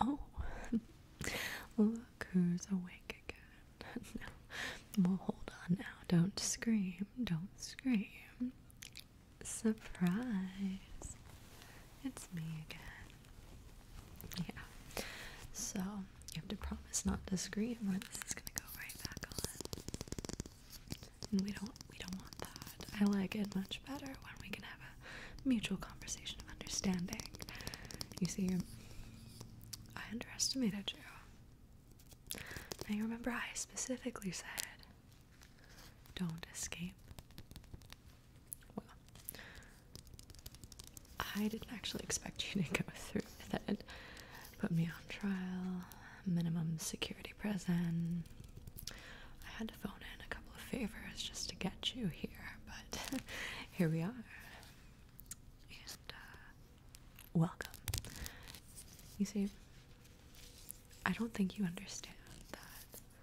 Oh, look who's awake again. well, hold on now. Don't scream. Don't scream. Surprise. It's me again. Yeah. So, you have to promise not to scream or this is going to go right back on. And we don't we don't want that. I like it much better when we can have a mutual conversation of understanding. You see, I underestimated you. I remember I specifically said, don't escape. Well, I didn't actually expect you to go through with it. Put me on trial, minimum security prison. I had phone in a couple of favors just to get you here, but here we are. And uh, welcome. You see, I don't think you understand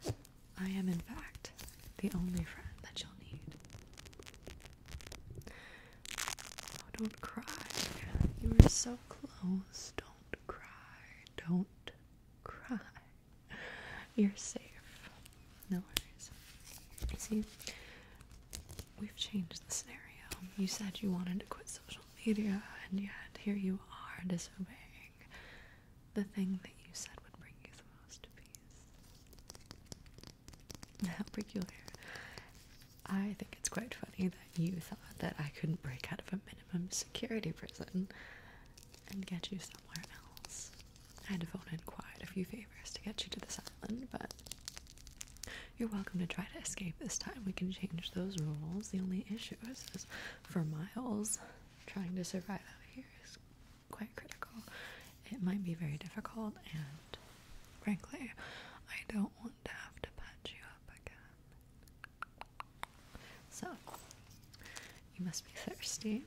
that I am, in fact, the only friend that you'll need. Oh, don't cry. You were so close. Don't cry. Don't cry. You're safe. No worries. see, we've changed the scenario. You said you wanted to quit social media, and yet here you are disobeying the thing that you said would bring you the most peace. How peculiar. I think it's quite funny that you thought that I couldn't break out of a minimum security prison and get you somewhere else. I had to phone in quite a few favors to get you to this island, but you're welcome to try to escape this time. We can change those rules. The only issue is, for Miles, trying to survive out here is quite critical. It might be very difficult, and frankly, I don't want to have to patch you up again. So, you must be thirsty.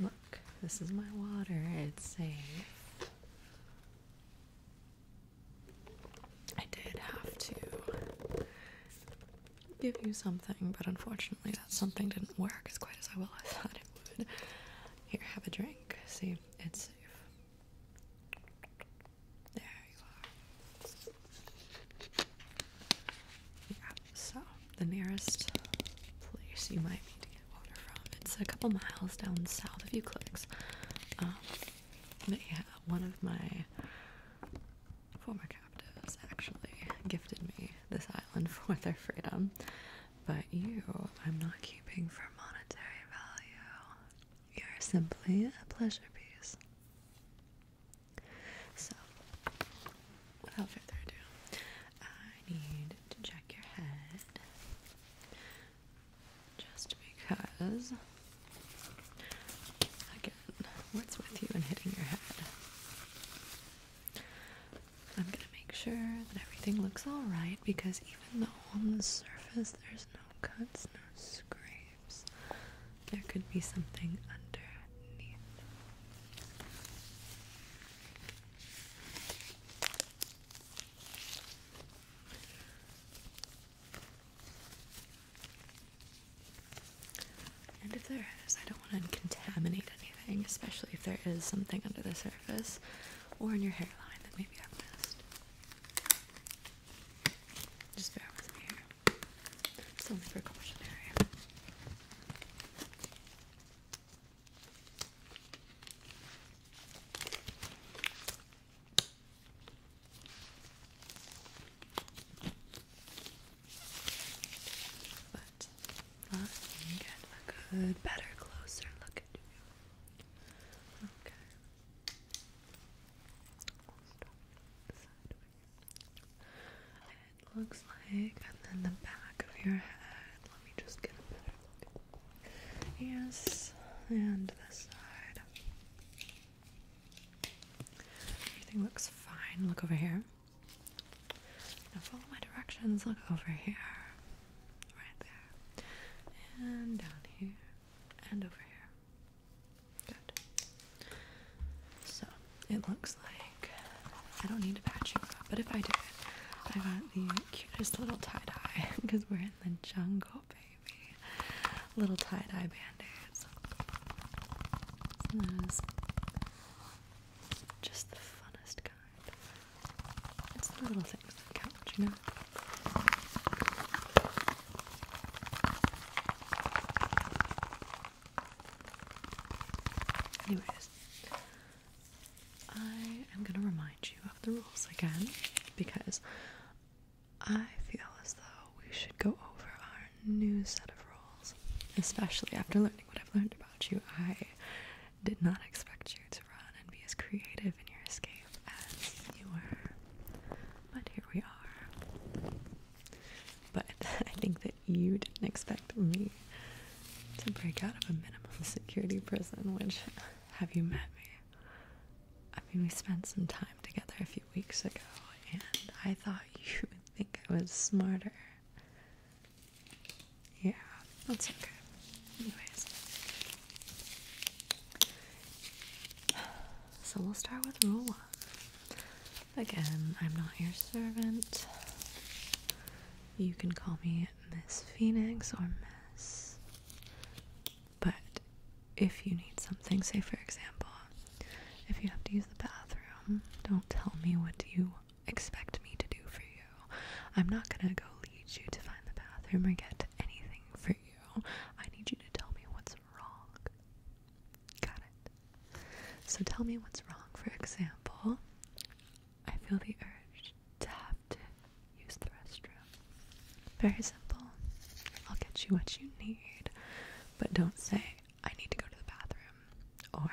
Look, this is my water. It's safe. I did have to give you something, but unfortunately, that something didn't work as quite as I well I thought it would. Here, have a drink. See, it's safe. There you are so the nearest place you might need to get water from, it's a couple miles down south of Euclid's. Um, but yeah, one of my former captives actually gifted me this island for their freedom. But you, I'm not keeping for monetary value. You're simply a pleasure piece. So, without further ado, I need to check your head just because, again, what's with you and hitting your head? I'm gonna make sure that everything looks alright because even though on the surface there's no cuts, no scrapes. There could be something underneath. And if there is, I don't want to contaminate anything, especially if there is something under the surface or in your hairline that maybe I've missed. Just bear with me here. It's precautionary. But let me get a good, better, closer look at you. Okay it looks like, and then the back of your head. Let me just get a better look. Yes, and this side. Everything looks fine. Look over here. Now follow my directions. Look over here. Right there. And down here. And over here. So it looks like I don't need to patch you up, but if I did, I got the cutest little tie dye because we're in the jungle, baby. Little tie dye band-aids. Just the funnest kind. It's the little things that count, you know? Anyways, I am going to remind you of the rules again because I feel as though we should go over our new set of rules, especially after learning what I've learned about you. I did not expect you to run and be as creative in your escape as you were, but here we are. But I think that you didn't expect me to break out of a minimum security prison, which have you met me? I mean, we spent some time together a few weeks ago, and I thought you would think I was smarter. Yeah, that's okay. Anyways, So we'll start with rule one. Again, I'm not your servant. You can call me Miss Phoenix or Miss. But if you need something, say for example, if you have to use the bathroom, don't tell me what you expect me to do for you. I'm not gonna go lead you to find the bathroom or get anything for you. I need you to tell me what's wrong. Got it. So tell me what's wrong. For example, I feel the urge to have to use the restroom. Very simple. I'll get you what you need, but don't say, I need to go to the bathroom or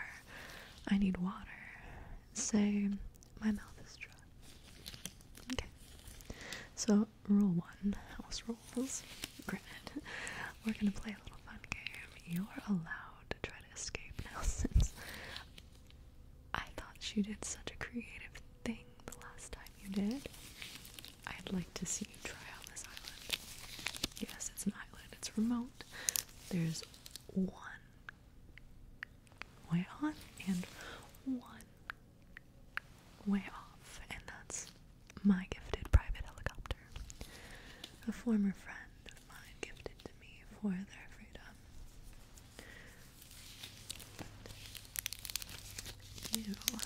I need water. Say, my mouth is dry. Okay. So rule one, house rules, granted, we're gonna play a little fun game. You're allowed to try to escape now since I thought you did such a creative thing the last time you did. I'd like to see you try on this island. Yes, it's an island, it's remote. There's one way on and one way off, and that's my gifted private helicopter. A former friend of mine gifted to me for their freedom. you,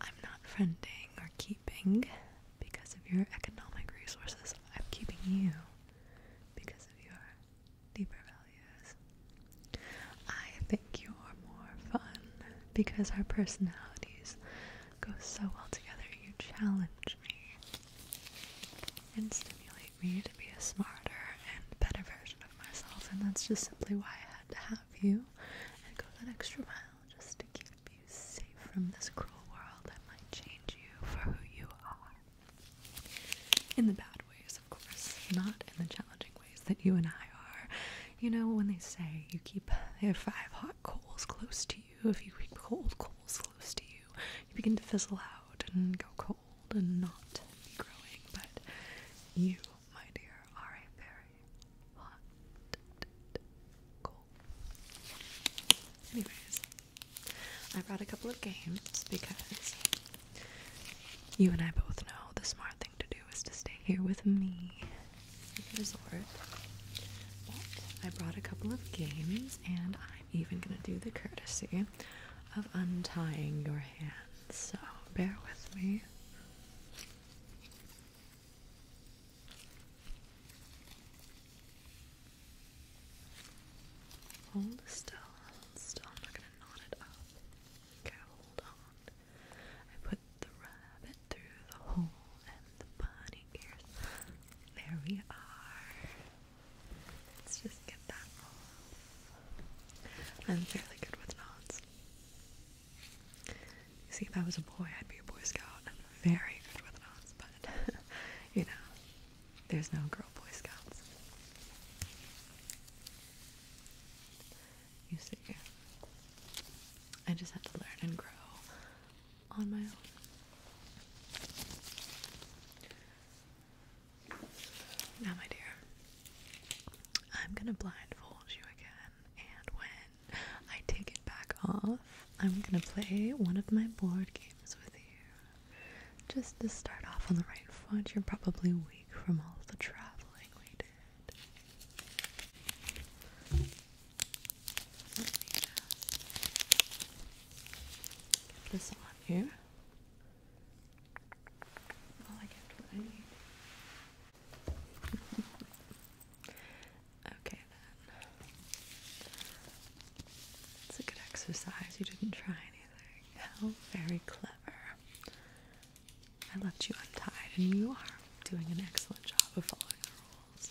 I'm not friending or keeping because of your economic resources. I'm keeping you because of your deeper values. I think you're more fun because our personalities go so well together. You challenge me and stimulate me to be a smarter and better version of myself, and that's just simply why I had to have you and go that extra mile just to keep you safe from this cruel world that might change you for who you are. In the bad ways, of course, not in the challenging ways that you and I are. You know, when they say you keep they five hot coals close to you, if you keep cold coals close to you, you begin to fizzle out and go cold and not be growing. But you, my dear, are a very hot coal. Anyways, I brought a couple of games because you and I both know this market thing to do is to stay here with me resort. I brought a couple of games, and I'm even gonna do the courtesy of untying your hands, so bear with me. Hold still, still. I'm not gonna knot it up. Okay, hold on. I put the rabbit through the hole and the bunny ears. There we are. Let's just get that I'm fairly good with knots. You see, if I was a boy, I'd be a Boy Scout. i very good with knots, but you know, there's no girl Boy Scouts. You see, I just had to learn and grow on my own. Now, my dear, I'm gonna blindfold you again, and when I take it back off, I'm gonna play one of my board games with you. Just to start off on the right foot, you're probably weak from all the traveling we did. Let this on here. okay, then. It's a good exercise. You didn't try anything. How oh, very clever. I left you untied, and you are doing an excellent job of following the rules.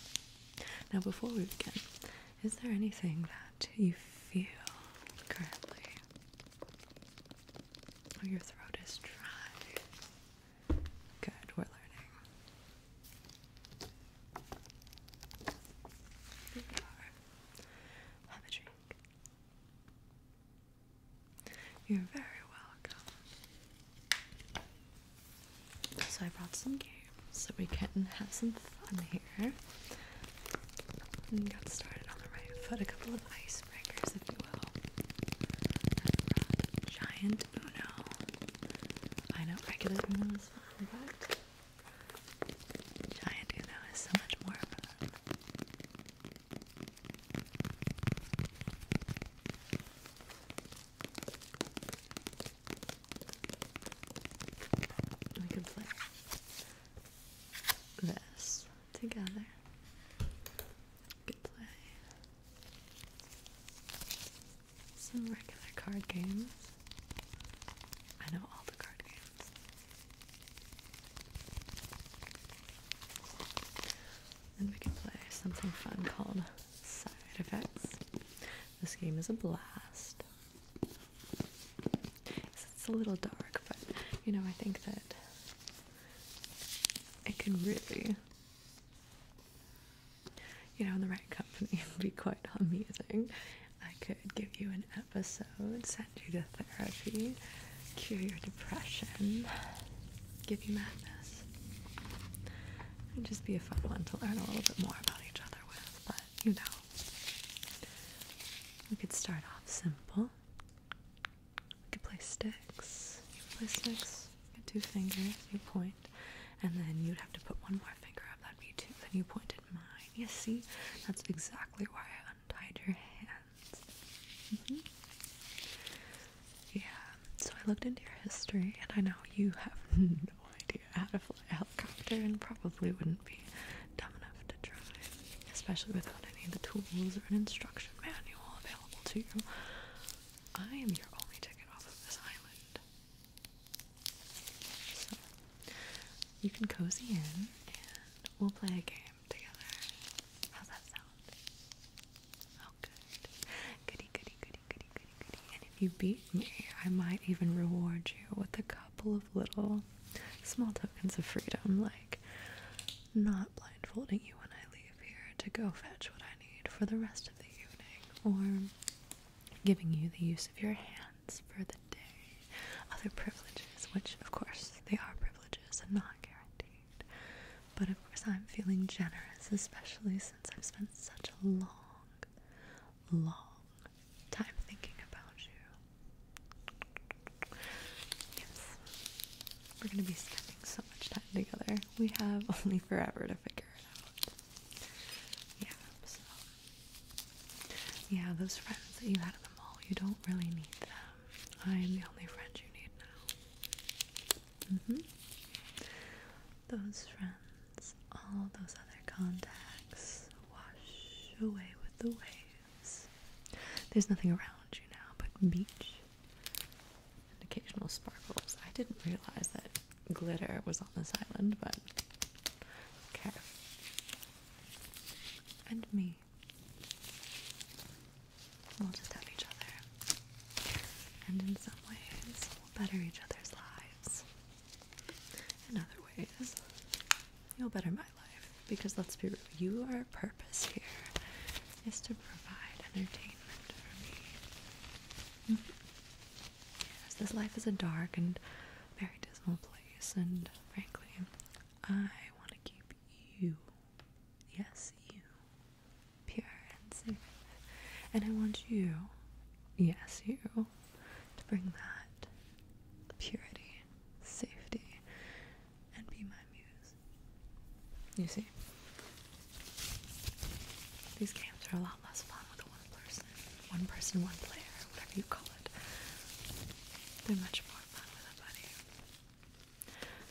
Now, before we begin, is there anything that you feel currently? Oh, your throat is dry. Good, we're learning. Here we are. Have a drink. You're very welcome. So I brought some games so we can have some fun here. got started on the right foot. A couple of icebreakers, if you will. Giant Uno. I know regular Uno is fun, but Giant Uno is so much more fun. We can play this together. could play some regular card games. I know all the card games. And we can play something fun called Side Effects. This game is a blast. It's a little dark, but you know, I think that it can really, you know, in the right company, be quite amusing. I could give you an episode do the therapy, cure your depression, give you madness, and just be a fun one to learn a little bit more about each other with. But you know, we could start off simple. We could play sticks. You play sticks. You get two fingers. You point, and then you'd have to put one more finger up. That'd be two. Then you pointed mine. You see, that's exactly why I hide your hands. Mm-hmm. Yeah, so I looked into your history, and I know you have no idea how to fly a helicopter and probably wouldn't be dumb enough to try, especially without any of the tools or an instruction manual available to you. I am your only ticket off of this island. you can cozy in and we'll play a game together. How's that sound? Oh, good. Goody, goody, goody, goody, goody, goody. And if you beat me, I might even reward you with a couple of little small tokens of freedom, like not blindfolding you when I leave here to go fetch what I need for the rest of the evening, or giving you the use of your hands for the day, other privileges, which of course they are privileges and not guaranteed. But of course, I'm feeling generous, especially since I've spent such a long, long time thinking about you. Yes, we're gonna be spending so much time together. We have only forever to figure it out. Yeah, Yeah, those friends that you had at the mall, you don't really need them. I am the only friend you need now. Mm-hmm. Those friends, all those other contacts, wash away with the waves. There's nothing around you now but beach and occasional sparkles. I didn't realize that glitter was on this island, but okay. And me. We'll just have each other. And in some ways, we'll better each other's lives. In other ways, you'll better my life. Because let's be real, you your purpose here is to provide entertainment for me. Mm-hmm. Yes, this life is a dark and very dismal place, and frankly, I want to keep you, yes, you, pure and safe. And I want you, yes, you, to bring that purity, safety, and be my muse. You see? These games are a lot less fun with one person, one person, one player, whatever you call it. They're much more fun with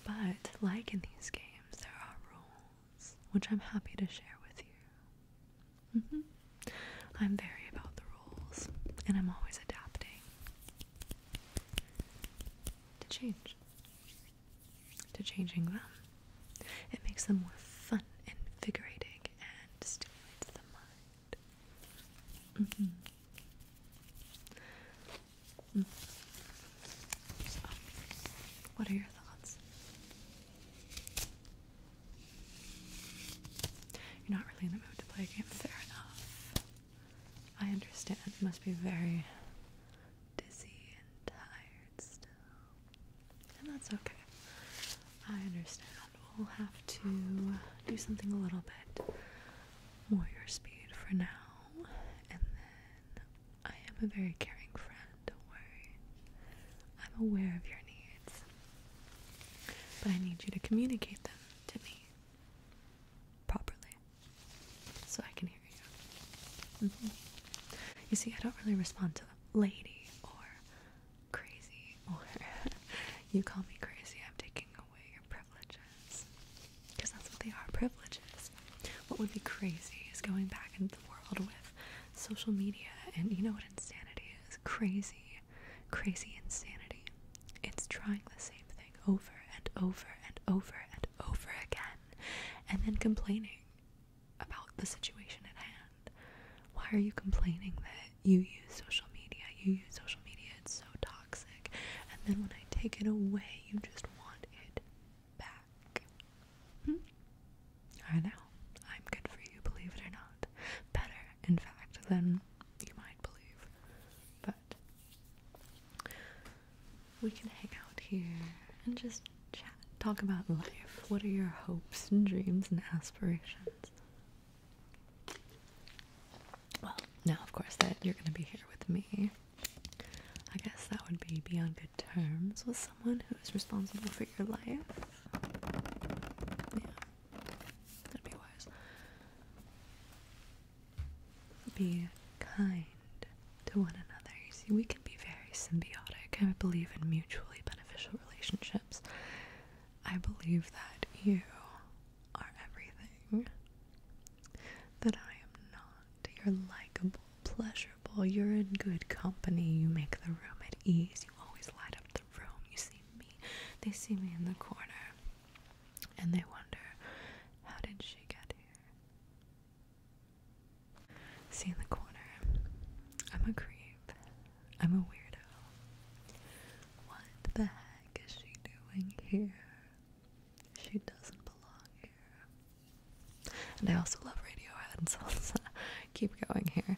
but, like in these games, there are rules, which I'm happy to share with you. Mm-hmm. I'm very about the rules, and I'm always adapting to change, to changing them. It makes them more fun, invigorating, and stimulates the mind. Mm-hmm. what are your thoughts? You're not really in the mood to play a game, fair enough. I understand. It must be very dizzy and tired still. And that's okay. I understand we'll have to do something a little bit more your speed for now. And then I am a very caring friend, don't worry. I'm aware of your needs, but I need you to communicate them to me properly so I can hear you. Mm-hmm. You see, I don't really respond to lady or crazy or you call me crazy, I'm taking away your privileges. Because that's what they are privileges. What would be crazy is going back into the world with social media, and you know what insanity is? Crazy, crazy insanity. It's trying the same thing over and over and over and over again, and then complaining about the situation at hand. Why are you complaining that you use social media, you use social media, it's so toxic. And then when I take it away, you just want it back. Hmm? I know. I'm good for you, believe it or not. Better, in fact, than you might believe. But we can hang out here and just chat, talk about life. What are your hopes and dreams and aspirations? Well, now of course that you're gonna be here with me. I guess that would be be on good terms with someone who is responsible for your life. Yeah. That'd be wise. Be kind to one another. see, we can be very symbiotic. I believe in mutually beneficial relationships. I believe that you are everything. That I am not. You're likable, pleasurable, you're in good company, you make the room at ease, you always light up the room. You see me, they see me in the corner, and they wonder, how did she get here? See in the corner, I'm a creep. I'm a weirdo. What the heck is she doing here? She doesn't belong here. And I also love Radiohead, so let's uh, keep going here.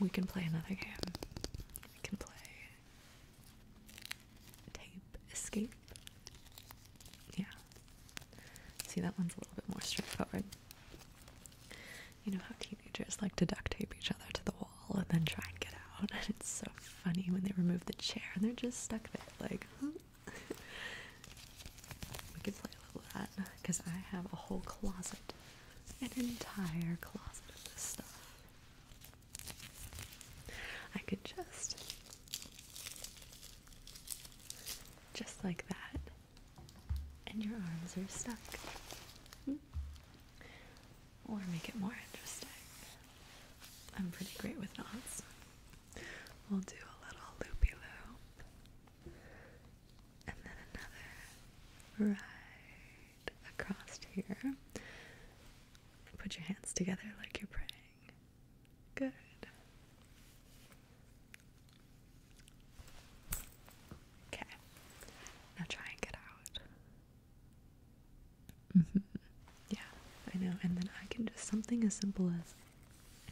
We can play another game. We can play Tape Escape. Yeah. See, that one's a little bit more straightforward. You know how teenagers like to duct tape each other to the wall and then try and get out. And it's so funny when they remove the chair and they're just stuck there, like. we could play a little of that because I have a whole closet, an entire closet of this stuff. I could just, just like that, and your arms are stuck or make it more interesting. I'm pretty great with knots. We'll do a little loopy loo, and then another right across here. Put your hands together like you're praying. Good. Okay. Now try and get out. Mm-hmm. Yeah, I know. And then I can just something as simple as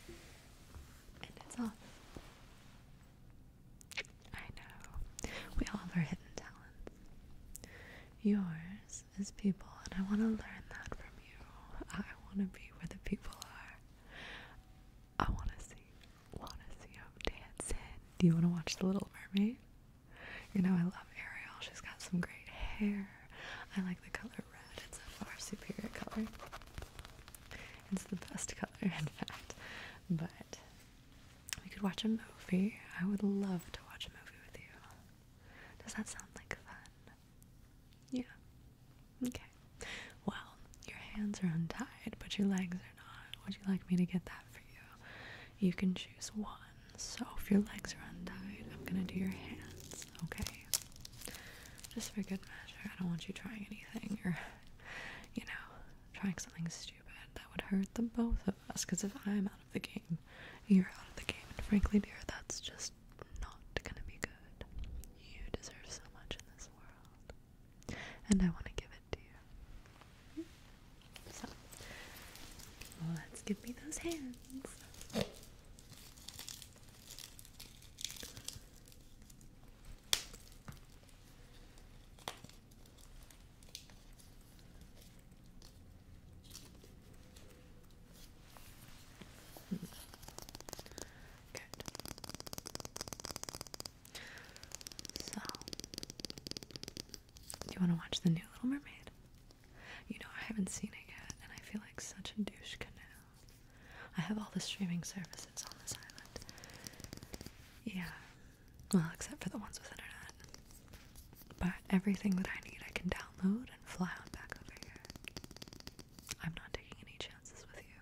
and it's off. I know. We all have our hidden talents. Yours is people, and I want to learn that from you. I want to be where the people are. I want to see, want to see him dancing. Do you want to watch The Little Mermaid? You know, I love Ariel. She's got some great hair. I like the color red. It's a far superior color. It's the best color, in fact. But we could watch a movie. I would love to watch a movie with you. Does that sound like fun? Yeah. Okay. Well, your hands are untied, but your legs would you like me to get that for you? You can choose one. So if your legs are untied, I'm gonna do your hands, okay? Just for good measure. I don't want you trying anything or, you know, trying something stupid. That would hurt the both of us because if I'm out of the game, you're out of the game. And frankly, dear, that's just not gonna be good. You deserve so much in this world. And I want to give it. So, let's give me those hands. Good. So, you want to watch the new Little Mermaid? You know, I haven't seen it yet, and I feel like such a douche canoe. I have all the streaming services on this island. Yeah. Well, except for the ones with internet. But everything that I need, I can download and fly on back over here. I'm not taking any chances with you.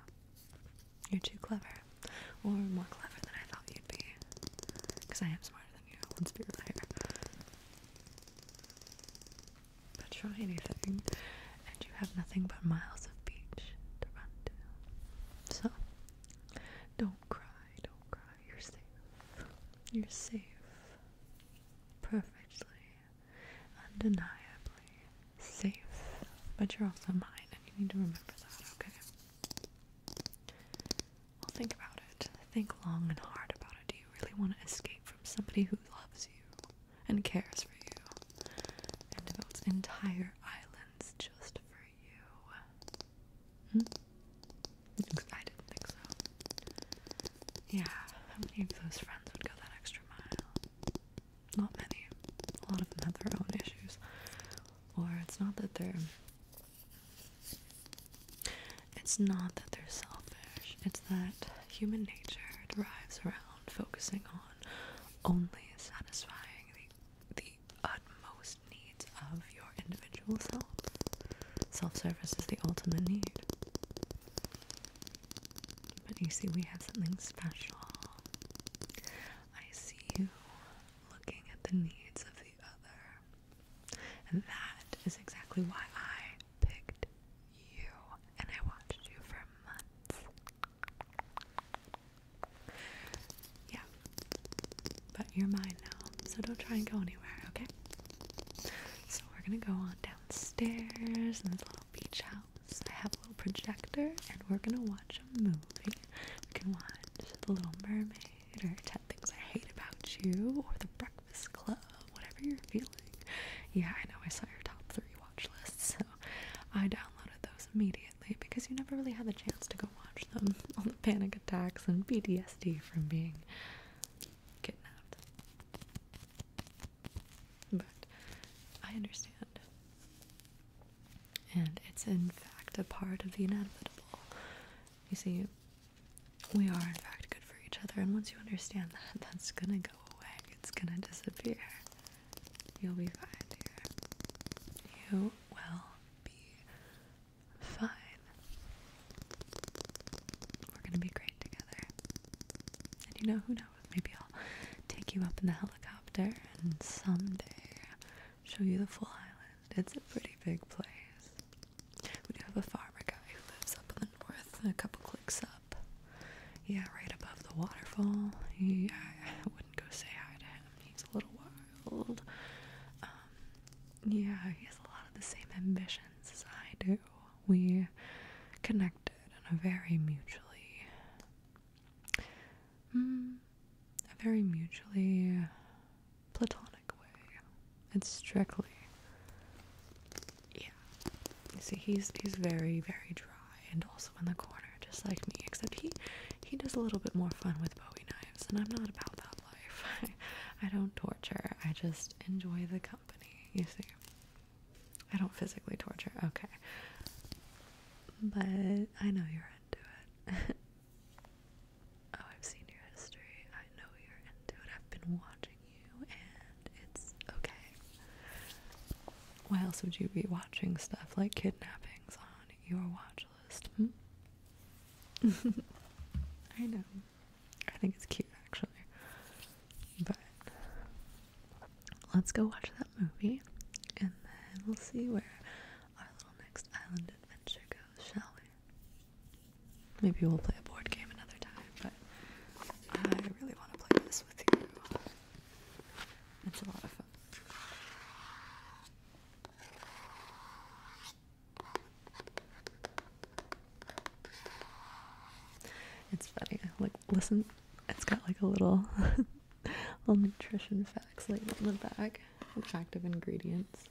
You're too clever. Or more clever than I thought you'd be. Because I am smarter than you, let's be clear. But try anything, and you have nothing but miles of beach to run to. So, don't cry, don't cry. You're safe. You're safe. Perfectly, undeniably safe. But you're also mine, and you need to remember that, okay? I'll think about it. Think long and hard about it. Do you really want to escape from somebody who loves you and cares for you and devotes entire islands just for you? Hmm? I didn't think so. Yeah, how many of those friends would go that extra mile? not many. A lot of them have their own issues. Or it's not that they're it's not that they're selfish. It's that human nature drives around focusing on only satisfying the the utmost needs of your individual self. Self-service is the ultimate need. But you see, we have something special. I see you looking at the needs of the other. And that is exactly why I picked you and I watched you for months. Yeah. But you're mine now, so don't try and go anywhere, okay? So we're gonna go on downstairs in this little beach house. I have a little projector and we're gonna watch a movie. We can watch The Little Mermaid or 10 Things I Hate About You or The Breakfast Club, whatever you're feeling. Yeah, I know I saw your top three watch lists, so I downloaded those immediately because you never really had the chance to go watch them. All the panic attacks and PTSD from being kidnapped. But I understand. And it's in fact a part of the inevitable. You see, we are in fact good for each other, and once you understand that, that's gonna go away. It's gonna disappear. You'll be fine, You will be fine. We're gonna be great together. And you know who knows? Maybe I'll take you up in the helicopter and someday show you the full island. It's a pretty big place. We do have a farmer guy who lives up in the north, a couple clicks up. Yeah, right above the waterfall. He, I, wouldn't go say hi to him. He's a little wild. Um, yeah, he has a lot of the same ambitions as I do. We connected in a very mutually mm, a very mutually platonic way. It's strictly, yeah. You see, he's he's very very dry and also in the corner, just like me. Except he he does a little bit more fun with Bowie knives, and I'm not about that life. I don't torture. I just enjoy the company. You see. I don't physically torture. Okay. But I know you're into it. oh, I've seen your history. I know you're into it. I've been watching you and it's okay. Why else would you be watching stuff like kidnappings on your watch list? Hmm? I know. I think it's cute actually. But let's go watch that movie and then we'll see where our little next island adventure goes, shall we? Maybe we'll play a board game another time, but I really want to play this with you. It's a lot of fun. It's funny. Like listen, it's got like a little little nutrition facts label on the back. Attractive ingredients.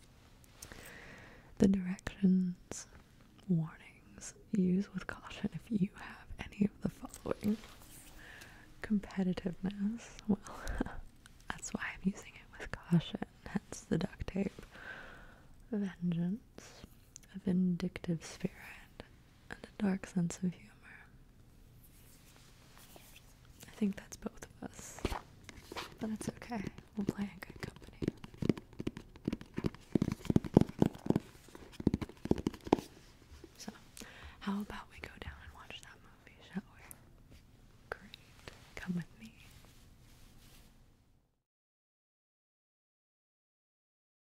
The directions, warnings. Use with caution if you have any of the following. Competitiveness. Well, that's why I'm using it with caution. Hence the duct tape. Vengeance. A vindictive spirit and a dark sense of humor. I think that's both of us, but it's okay. We'll play in good company. So, how about we go down and watch that movie, shall we? Great. Come with me.